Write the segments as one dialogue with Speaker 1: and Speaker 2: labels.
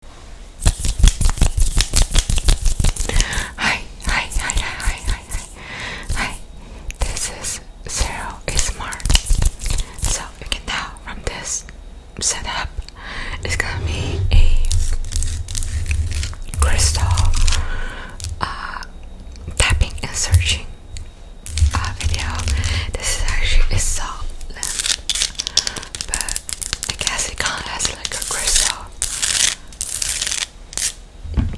Speaker 1: Hi, hi, hi, hi, hi, hi, hi. This is Zero Is Smart. So you can tell from this setup, it's gonna be a crystal uh, tapping and searching uh, video. This is actually a soft lamp, but I guess it kind of has like a crystal.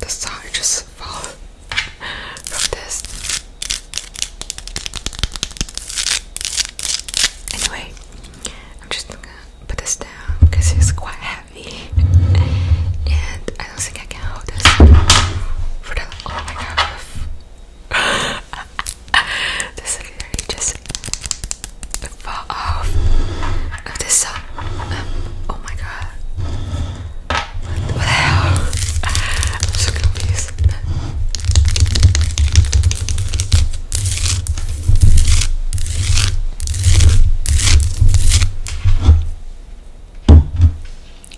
Speaker 1: The star just fall from this. Anyway, I'm just gonna put this down because it's quite heavy, and I don't think I can hold this for the. Oh my god! this literally just a part this song. Uh, um, oh my god. What, the hell? I'm so confused.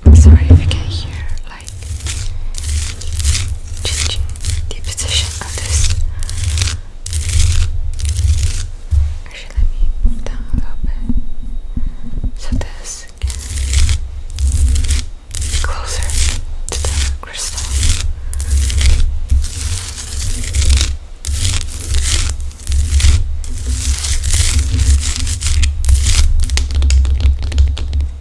Speaker 1: I'm sorry if I can hear like changing the position of this. Actually, let me move down a little bit so this can be closer to the crystal.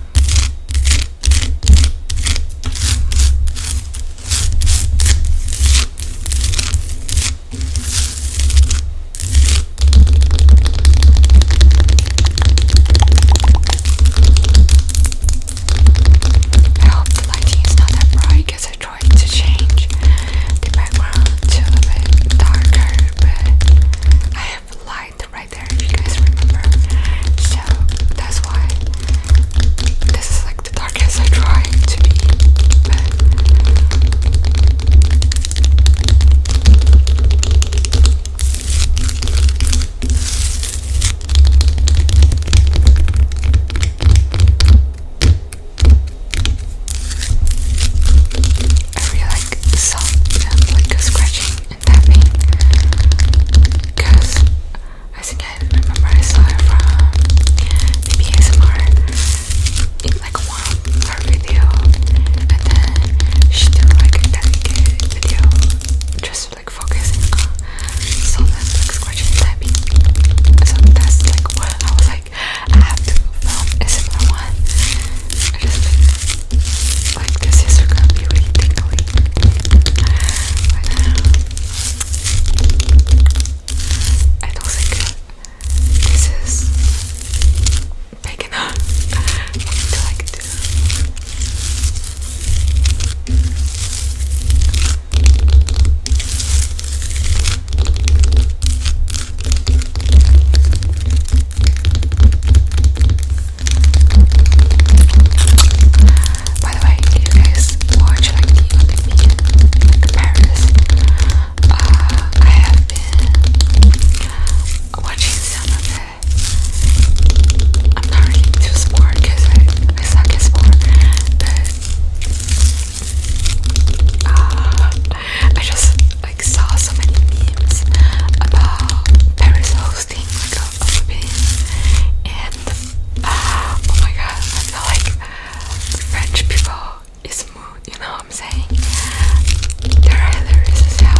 Speaker 1: I hope the lighting is not that bright because I tried to change the background to a bit darker, but I have light right there, if you guys remember. So that's why this is like the darkest I try to be. I really like soft and like scratching tapping because I think I remember I saw it from maybe ASMR in like one her video and then she did like a dedicated video just like focusing so that's like scratching tapping so that's like what I was like I have to film a similar one I just like the scissors are going I don't think this is big enough to like do. By the way, you guys watch like the Olympian Paris? Uh, I have been watching some of it. I'm not really into sport because I, suck at sport, but uh, I just like saw so many memes about Paris hosting like a Olympics, and uh, oh my god, I feel like French people is You know what I'm saying? They're hilarious as hell.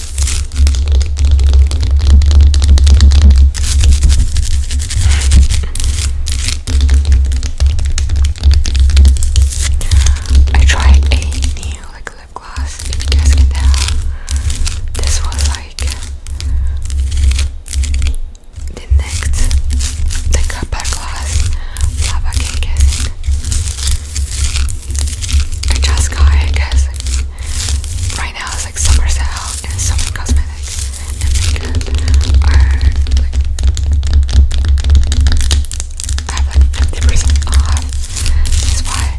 Speaker 1: I tried a new like lip gloss, you guys can tell. This was like the next the copper glass lava cake, I I just got it because right now it's like summer sale and summer cosmetics and makeup are like I have like 50% why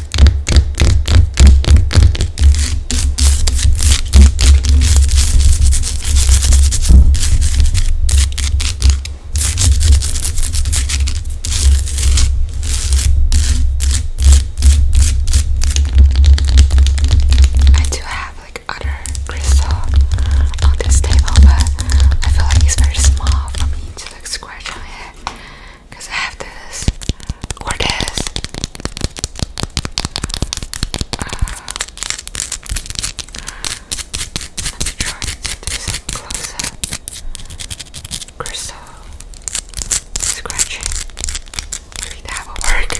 Speaker 1: I do have like other crystal on this table, but I feel like it's very small for me to like scratch on it because I have this or this. Uh, let me try to do some close up crystal scratching. Maybe that will work.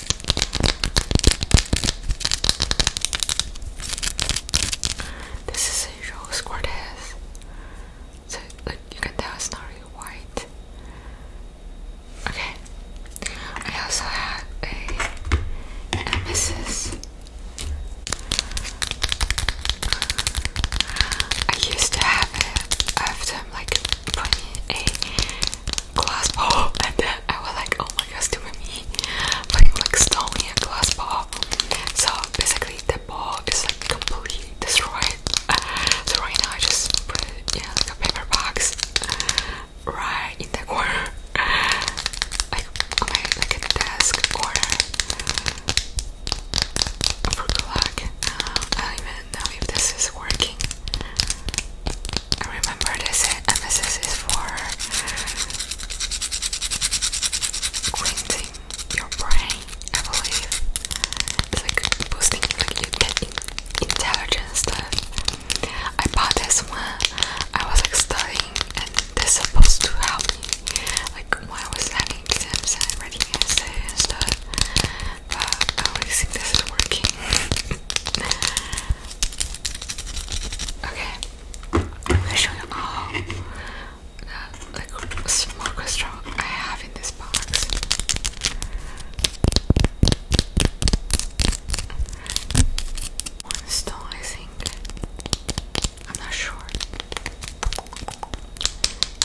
Speaker 1: This is a rose quartz. So look, you can tell it's not really white. Okay. I also have a emphasis. I used to have it after like putting glass bowl and then I was like, oh my gosh, to me, but you like stole a glass ball. So basically, the ball is like completely destroyed. So right now, I just put it in a paper box right in the corner, like on like a desk corner. For I don't even know if this is working. Remember this emphasis is for cleansing your brain, I believe. It's like boosting, like you get stuff. I bought this one. I was like studying, and this is supposed to help me. Like when I was having exams and writing essays and stuff. But I don't think this is working. Okay, I'm gonna show you all the like, small I have in this box. One stone, I think. I'm not sure.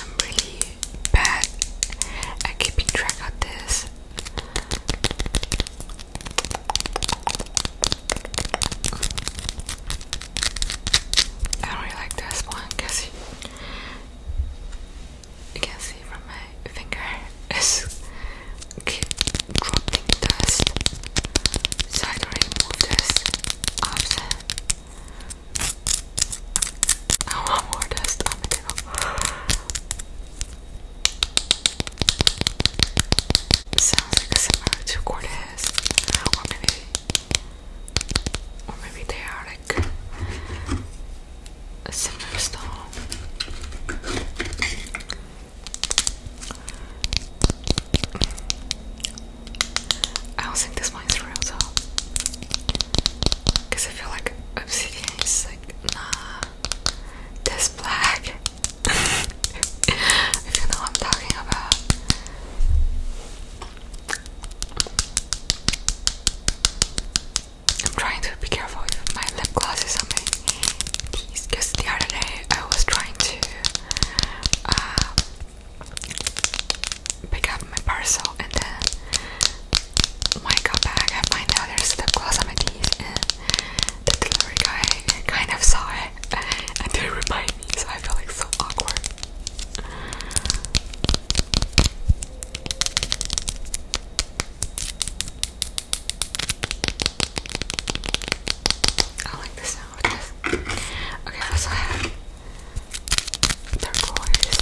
Speaker 1: I'm really bad at keeping track of this. I don't really like this one because you can see from my finger it's keep dropping dust. So I don't remove this often. I want more dust Sounds like similar to Cortez, or maybe, or maybe they are like a similar style. I don't think this one is real though, because I feel like obsidian is like nah, this black you know I'm talking about. I'm trying to be careful with my lip glosses on my teeth because the other day I was trying to uh, pick up my parcel and then when I got back I find out there's lip gloss on my teeth the delivery guy kind of saw it and they remind me, so I feel like so awkward. I like the sound of this. Okay, I also have turquoise.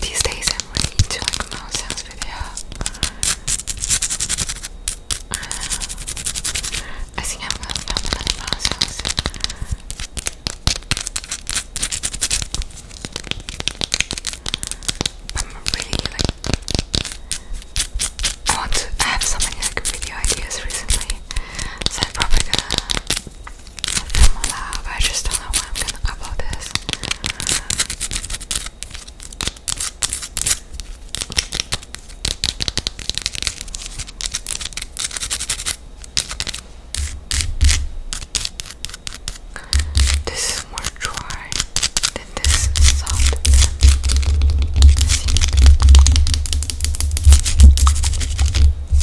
Speaker 1: These days I'm really into like mouse sounds video. Um, I think I'm gonna mouse sounds. I'm really like I want to I have so many like video ideas recently. So I'm probably gonna I'm alive. I just don't know why I'm gonna upload this. This is more dry than this soft. See?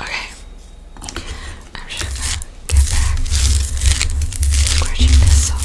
Speaker 1: Okay. I'm get back scratching this off.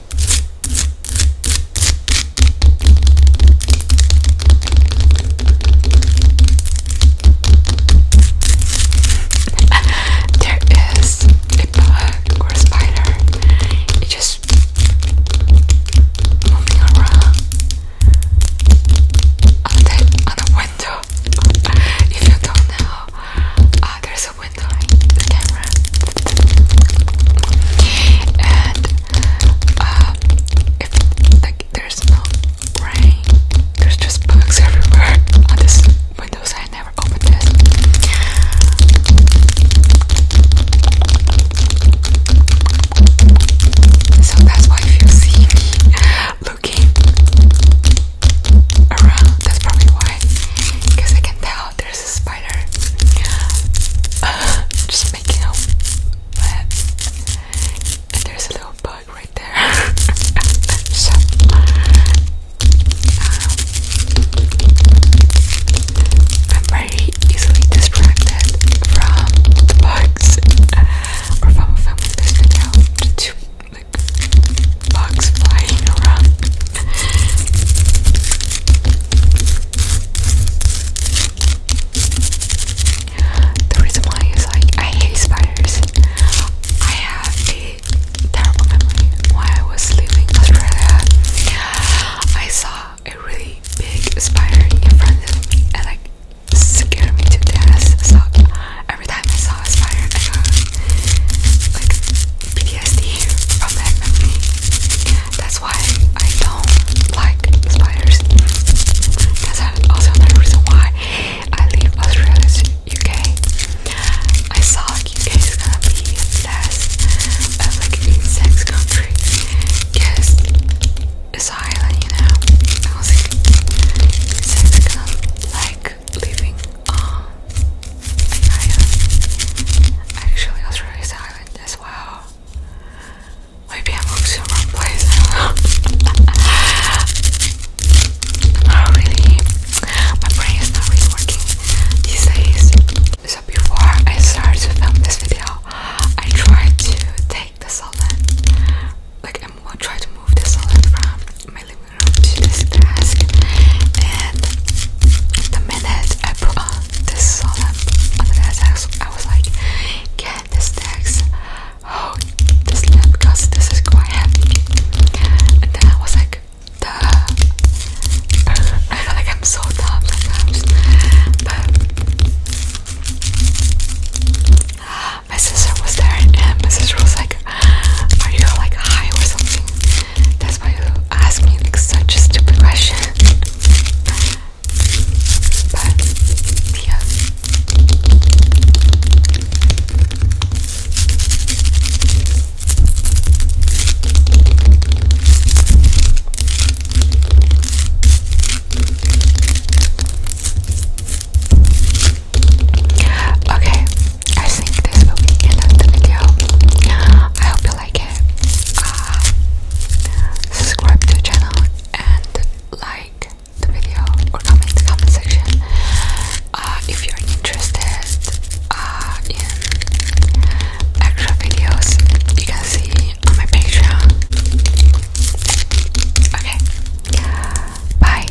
Speaker 1: there is a bug spider. It just moving around on the window. if you don't know, uh, there's mess with the camera and uh, if there's no rain there's just bugs everywhere on this windows I never opened this so that's why if you see looking around that's probably why because I can tell Oh, there's a spider. Uh, just making a web. And there's a little bug right there. so, um, I'm very easily distracted from the bugs uh, or from a family video bugs flying around. the reason why is like I hate spiders. I have a terrible memory while I was leaving Australia. I saw a really big spider in front of me and like scared me to death. So every time I saw a spider, I got like PTSD from that That's why I don't like spiders. That's also another reason why I leave Australia to UK. I saw UK is gonna be less of uh, like an country. Yes, it's an you know. I was like leaving um, Australia. Actually, Australia is silent as well. Maybe I moved to the wrong place. not really. My brain is not really working these days. So before I started to film this video, I tried to take the salon. Like I'm gonna move the salon from my living to this task and the minute I put on this song on the task I was like can this text hold oh, this lip because this is quite heavy and then I was like duh I feel like I'm so dumb sometimes but my sister was there and my sister was like are you like high or something that's why you ask me like such a stupid question. but yeah. Okay, I think this will be the end of the video. I hope you like it. Uh, subscribe to the channel and like the video or comment in the comment section. Uh, if you're interested uh, in extra videos, you can see on my Patreon. Okay. Bye.